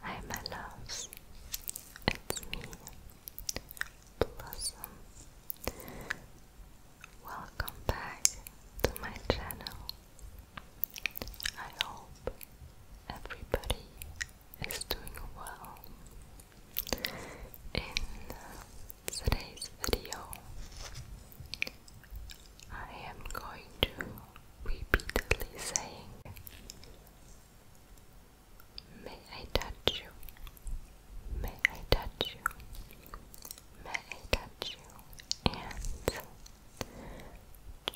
Hi my loves, it's me, Blossom. Welcome back to my channel. I hope everybody is doing well. In today's video, I am going to repeatedly saying, May I touch you? May I touch you? May I touch you? And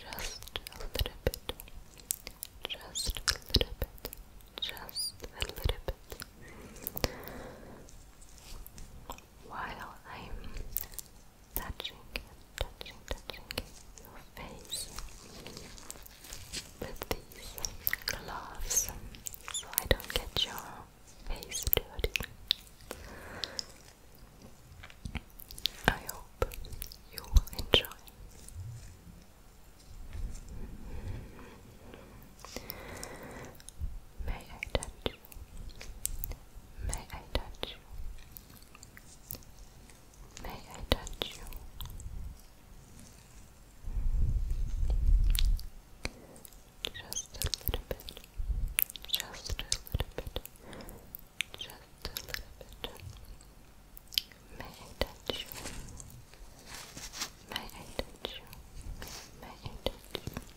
just a little bit, just a little bit, just a little bit while I'm touching, touching, touching your face with these gloves so I don't get your face dirty. I hope you will enjoy. May I touch you? May I touch you? May I touch you? Just a little bit. Just a little bit. Just a little bit. May I touch you? May I touch you? May I touch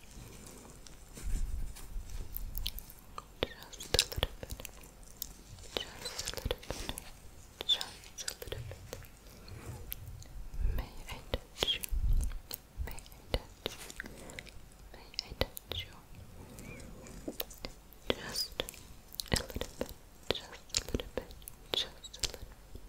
you? Just a little bit. Just a little bit. Just a little bit. May I touch you? May I touch you? May I touch you? Just a little bit. Just a little bit. Just a little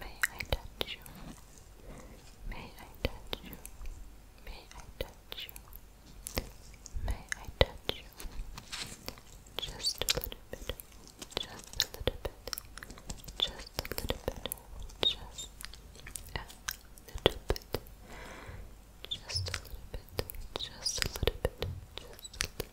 May I touch you? May I touch you? May I touch you? May I touch you? Just a little bit. Just a little bit. Just a little bit. Just a little bit. Just a little bit. Just a little bit. Just a little bit.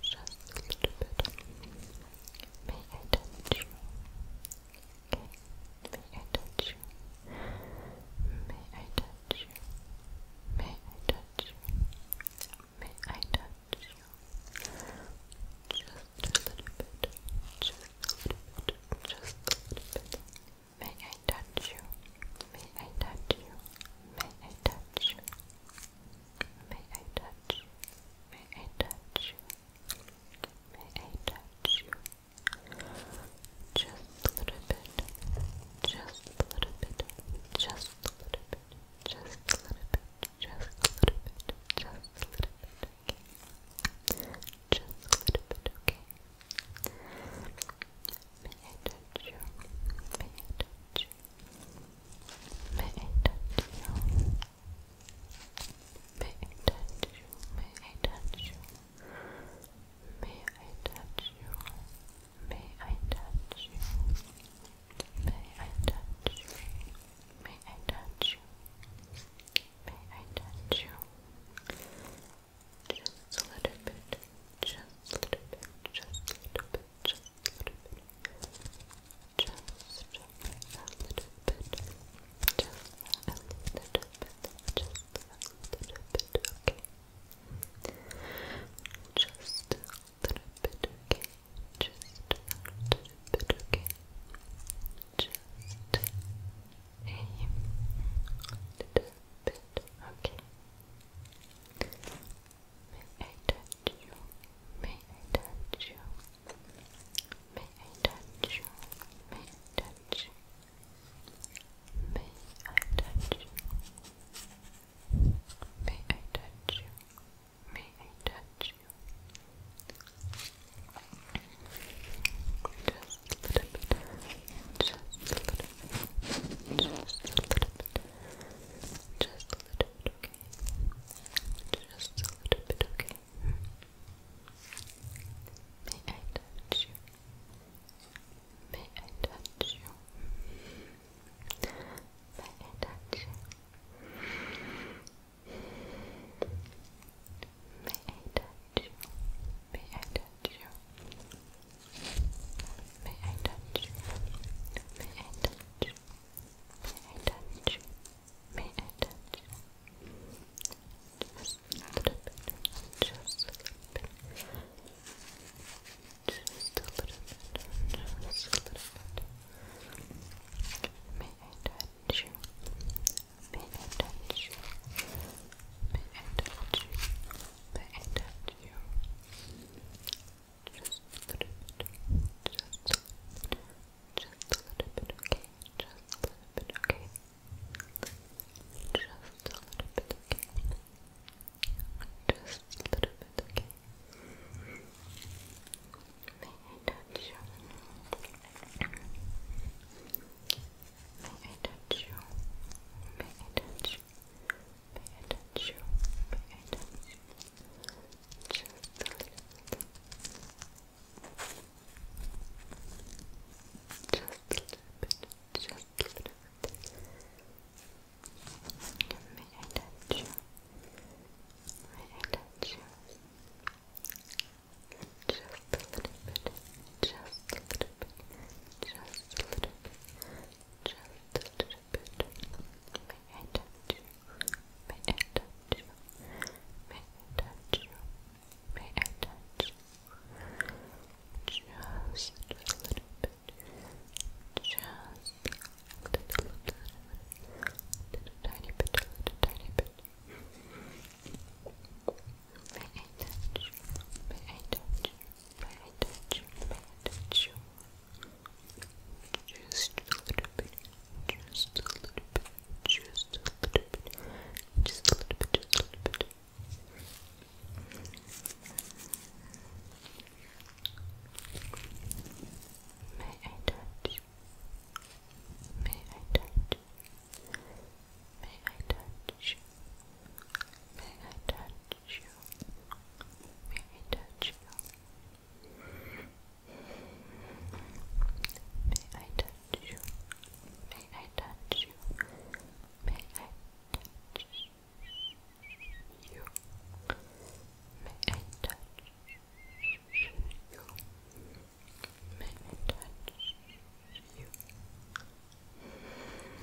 just a little bit. May I touch you? May I touch you? May I touch you? May I touch you? May I touch you? Just a little bit. Just a little bit. Just a little bit. May I touch you? May I touch you? May I touch you? May I touch you? May I touch you? May I touch you? Just a little bit. Just a little bit. Just a little bit. Just a little bit. Just a little bit. Just a little bit. Just a little bit. Okay. May I touch you? May May I touch you? May I touch you May I touch you? May I touch you? May I touch you? May I touch you? May I touch you? May I touch you? May I touch you? Just a little bit, just a little bit, just a little bit, just a little bit. Just a little bit. Just a little bit. Just a little bit. Okay. Just a little bit. Okay. Just a little bit. Okay. Just a little bit. Okay. May you? May I touch you? May I touch you? May I touch you? May I touch you? May I touch you? May I touch you? Just a little bit. Just a little bit. Just a little bit. Just a little bit, okay? Just a little bit, okay? May I touch you? May I touch you? May I touch you? May I touch you? May I touch you? May I touch you? touch? May I touch? Just a little bit. Just a little bit. Just a little bit. Just a little bit. May I touch you? May I touch you? you just a little bit, just a little bit, okay, just a little bit, okay, just a little bit, okay, just a little bit, okay. May I touch you pay attention, pay attention, just a little bit, just a little bit, just a little bit, pay attention, pay attention, just a little bit, just a little bit, just a little bit. Just a little bit. May I touch you? May I touch you? May I touch you? May I touch you? Just a little bit. Just a little, little, little tiny bit, a tiny bit. May I touch you? May I touch you? touch, just a little bit, just a little bit, just a little bit, just a little bit, just a little bit. May I touch? May I touch? May I touch? May I touch? touch you? May I touch you? May I touch you? May I touch you? May I touch you? May I touch you? May I touch you?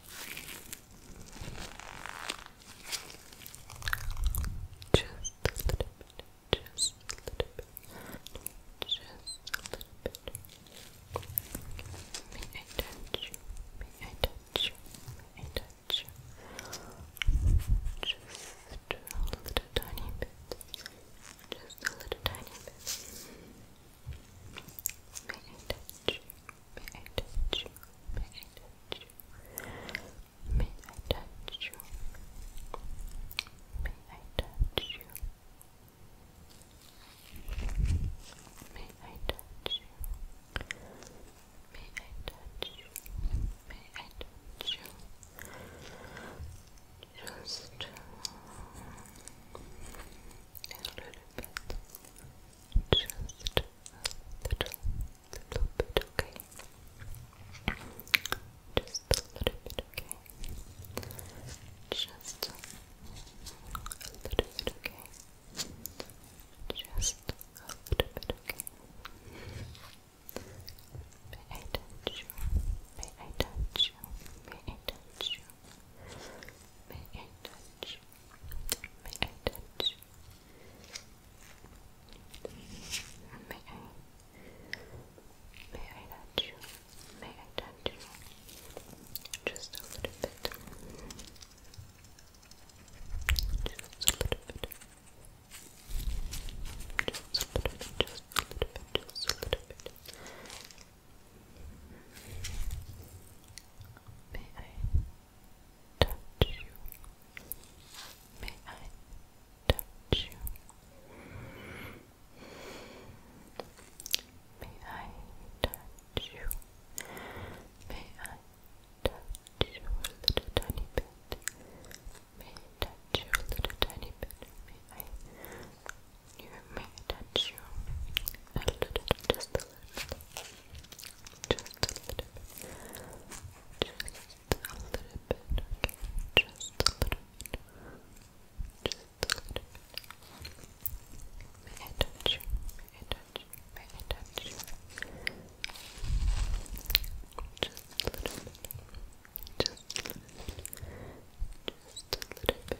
Just a little bit, just a little bit, just a little bit. May I touch you? May I touch you? May I touch you? Just a little tiny bit, just a little tiny bit. May I touch you? May I touch you? May I touch you? May I touch you? May I touch you? May I touch you? May I touch you? Just a little bit. Just a little, little bit, okay? Just a little bit, okay? Just a little bit, okay? Just a little bit, okay? May I touch you? May I touch you? May I touch you? May I touch you? May I touch? May I? May I touch you? May I touch you? Just a little bit. Just a little bit. Just a little bit. Just a little bit. Just a little bit. May I touch you? May I touch you? May I touch you? May I touch you a little tiny bit? May touch you a little tiny bit? May I you may touch you a little, just a little, just a little bit, just a little bit, just a little bit, just a little bit. May touch you? May touch you? May touch you? Just a little bit, just a little bit, just a little bit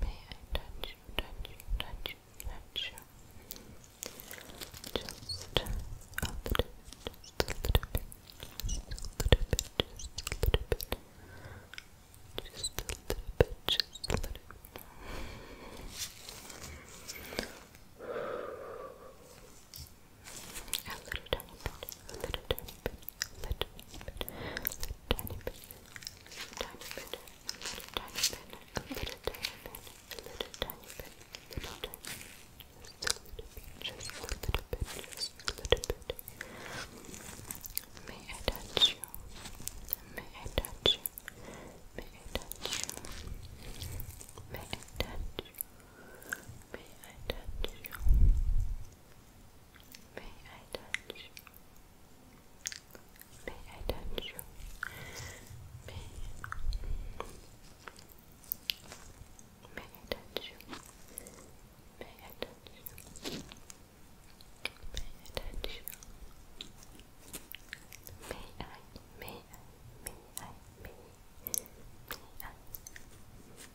May I touch you, Just a little bit, a little bit, just a little bit, just a little bit. a little bit, little bit, little tiny bit, tiny bit, little tiny bit, a tiny bit, a little tiny bit, little tiny bit, just a little bit, just a little bit, just a little bit. May I touch you? May I touch you? May I touch you? May I touch you? May I touch you May I touch you? May I touch you? May, May I touch you? May I touch you? may I, may I, may I, may I, may I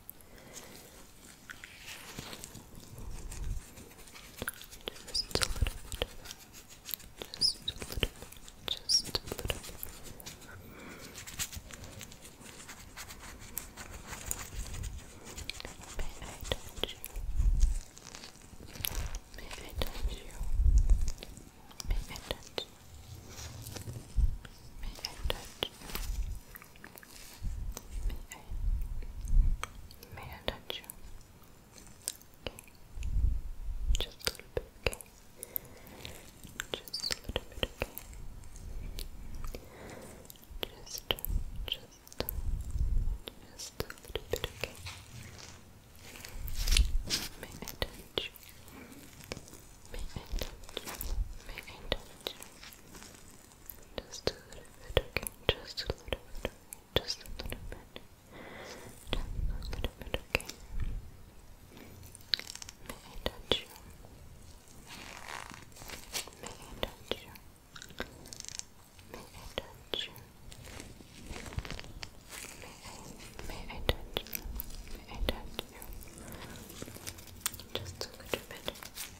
Just a little bit. Just a little bit. Just a little bit. May I touch you? May I touch you? May I touch May I touch you? I, may touch you? Just a little bit, okay? Just a little bit, okay? Just, just, just a little bit, okay? May I touch you? May touch you? May touch just a little bit, okay? Just a little bit, Just a little bit. Just a little bit, okay? May I touch you? May I touch you? May I touch you? May I, may I touch you? May I touch you? Just a little bit.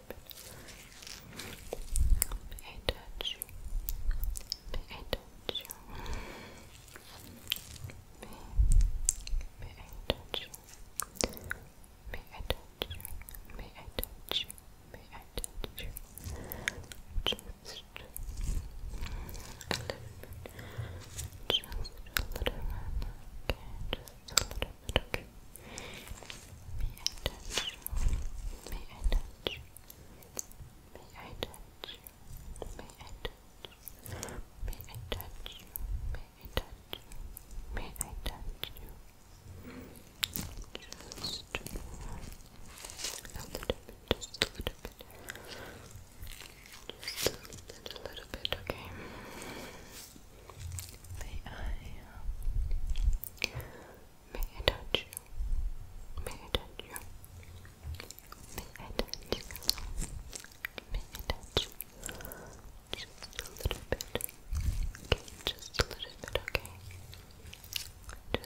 May I touch you? May I touch you? May, I touch you? May I touch you? May I touch you? Just a little bit. Just a little bit. Okay, just a little bit. Okay. May I touch you? May I touch you? May I touch you? May I touch you? May I touch you? Just a little bit, just a little bit. Just a little bit, okay. Uh, may I, may I touch you? May I touch you? May I touch you? Just a little bit. just a little bit, okay?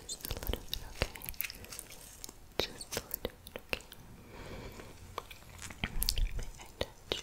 Just a little bit, okay? Just a little bit, okay? May I touch you?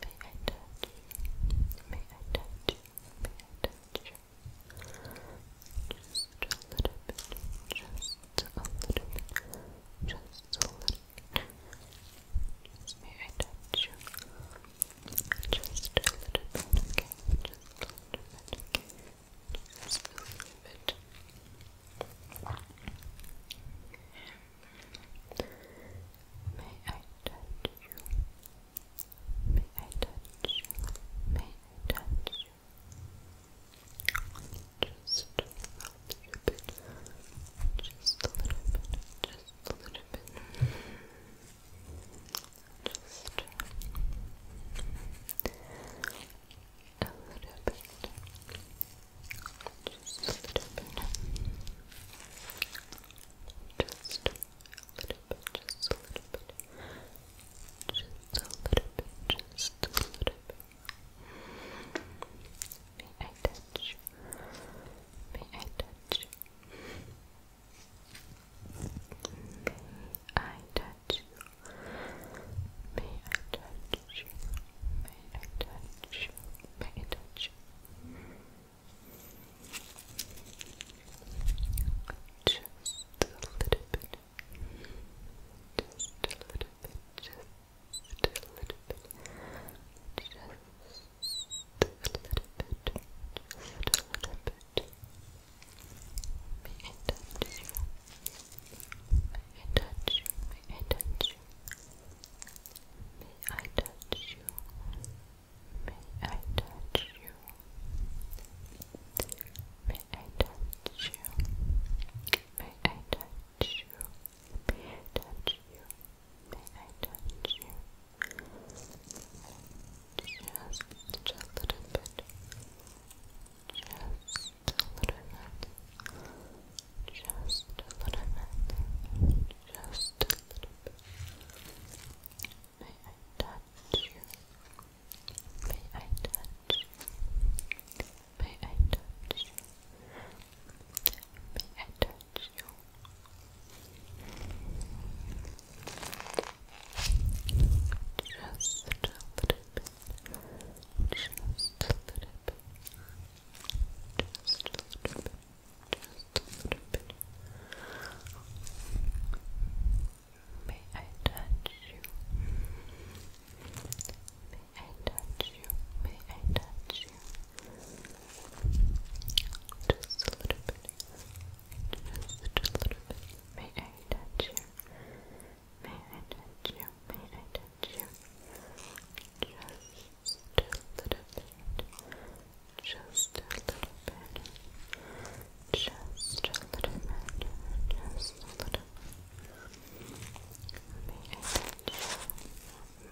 May I touch you? May I touch you? Just a little bit, just a little bit, just a little may I touch you? Just a little bit, Just a little bit, Just a little bit. May I touch you? May I touch you? May I touch you? Just rub you bit. Just a little bit. Just a little bit. Just A little bit. Just a little bit. Just a little bit, just a little bit. Just a little bit, just a little bit. May I touch? May I touch? May I touch you? May I touch you? Pay attention. Pay attention. Just a little bit. Just a little bit. Just a little bit. Just a little bit. Just a little bit. Pay attention. Pay attention. Pay attention. May I touch you? May I touch you? May I touch you? May I touch you? touch you? May I touch you? just a little bit. Just a little bit. Just a little bit. Just a little bit. May I touch you? May I touch May I touch you? May I touch you? Just a little bit. Just a little bit. Just a little bit. Just a little bit. May I touch you? May I touch you? May I touch you? Just a little bit. Just a little bit. May I touch you? May I touch you? May I touch you? Just just a little bit, just a little bit, just a little bit, just a little bit.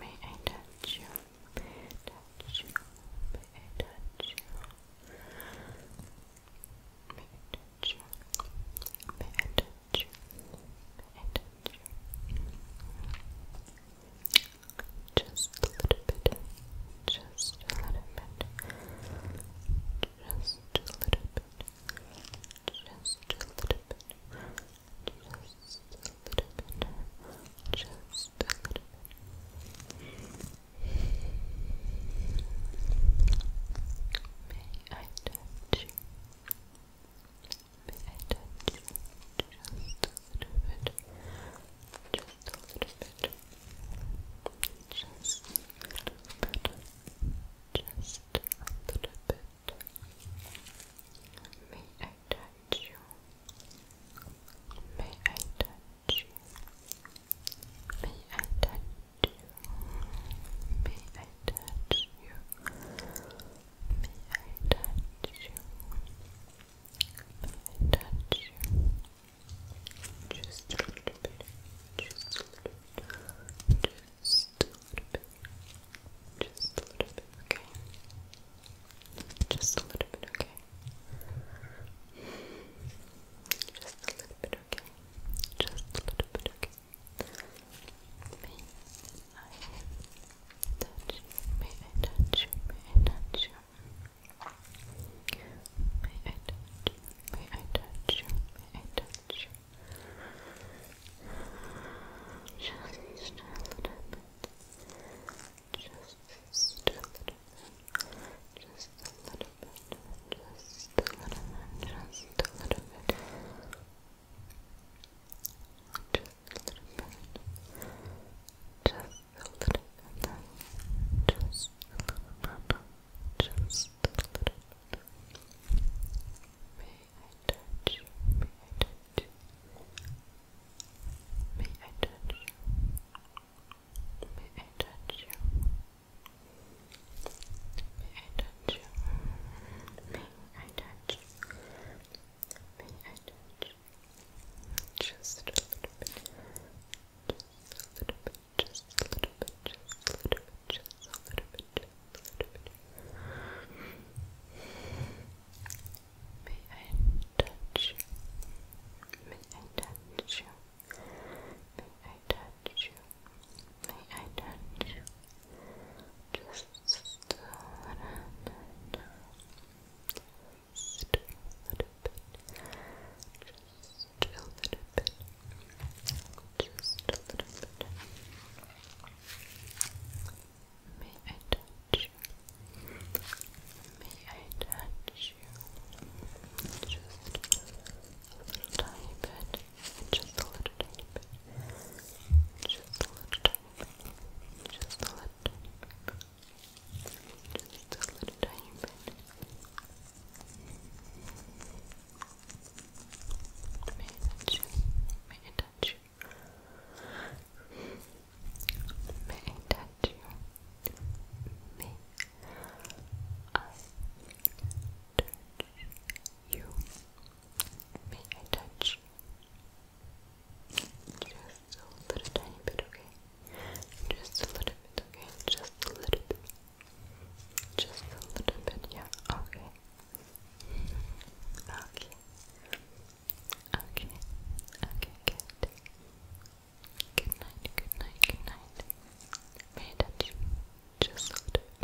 May I touch you? May I touch you? May I touch you? May I touch you? May I touch you? May I touch you? May I touch you? Just a little bit. Just a little bit. Just a little bit. Just a little bit. Just a little bit. Just a little bit. May I touch you? Maybe I touch just a little bit, just a little bit, just a little bit, just a little bit. May I touch you? May I touch you? May I touch you? May I touch you? May I touch you? I touch you? I touch you? Just a little bit. Just a little bit. Just a little bit. Just a little bit, okay? Just a little bit, okay? Just a little bit, okay? Just a little bit, okay? I touch you, may I touch you, may I touch you May I touch you, may I touch you, may I touch you Just, just a little bit just a little bit just a little bit, just a little bit, just a little bit, just a little bit, just a little bit, just a little bit. May I touch you? May I touch you? May I touch you? May I touch you? May I touch you? May I touch you May I touch just a little bit, just a little bit, just a little bit, just a little bit, just a little bit, just a little bit. May I touch May I touch May I touch May I touch Just just a little bit. Just a little bit. Just a little bit. Just a little bit. May I touch you? May I touch you? Just a little tiny bit. Just a little tiny bit. Just a little tiny just a little. Just a little tiny May I touch you? May I touch you? May I touch you? May I touch you? May I touch just a little tiny bit, okay? Just a little bit, okay? Just a little bit. Just a little bit, yeah, okay. Okay. Okay. Okay, good. Good night, good night, good night. Pay attention. Just a little bit.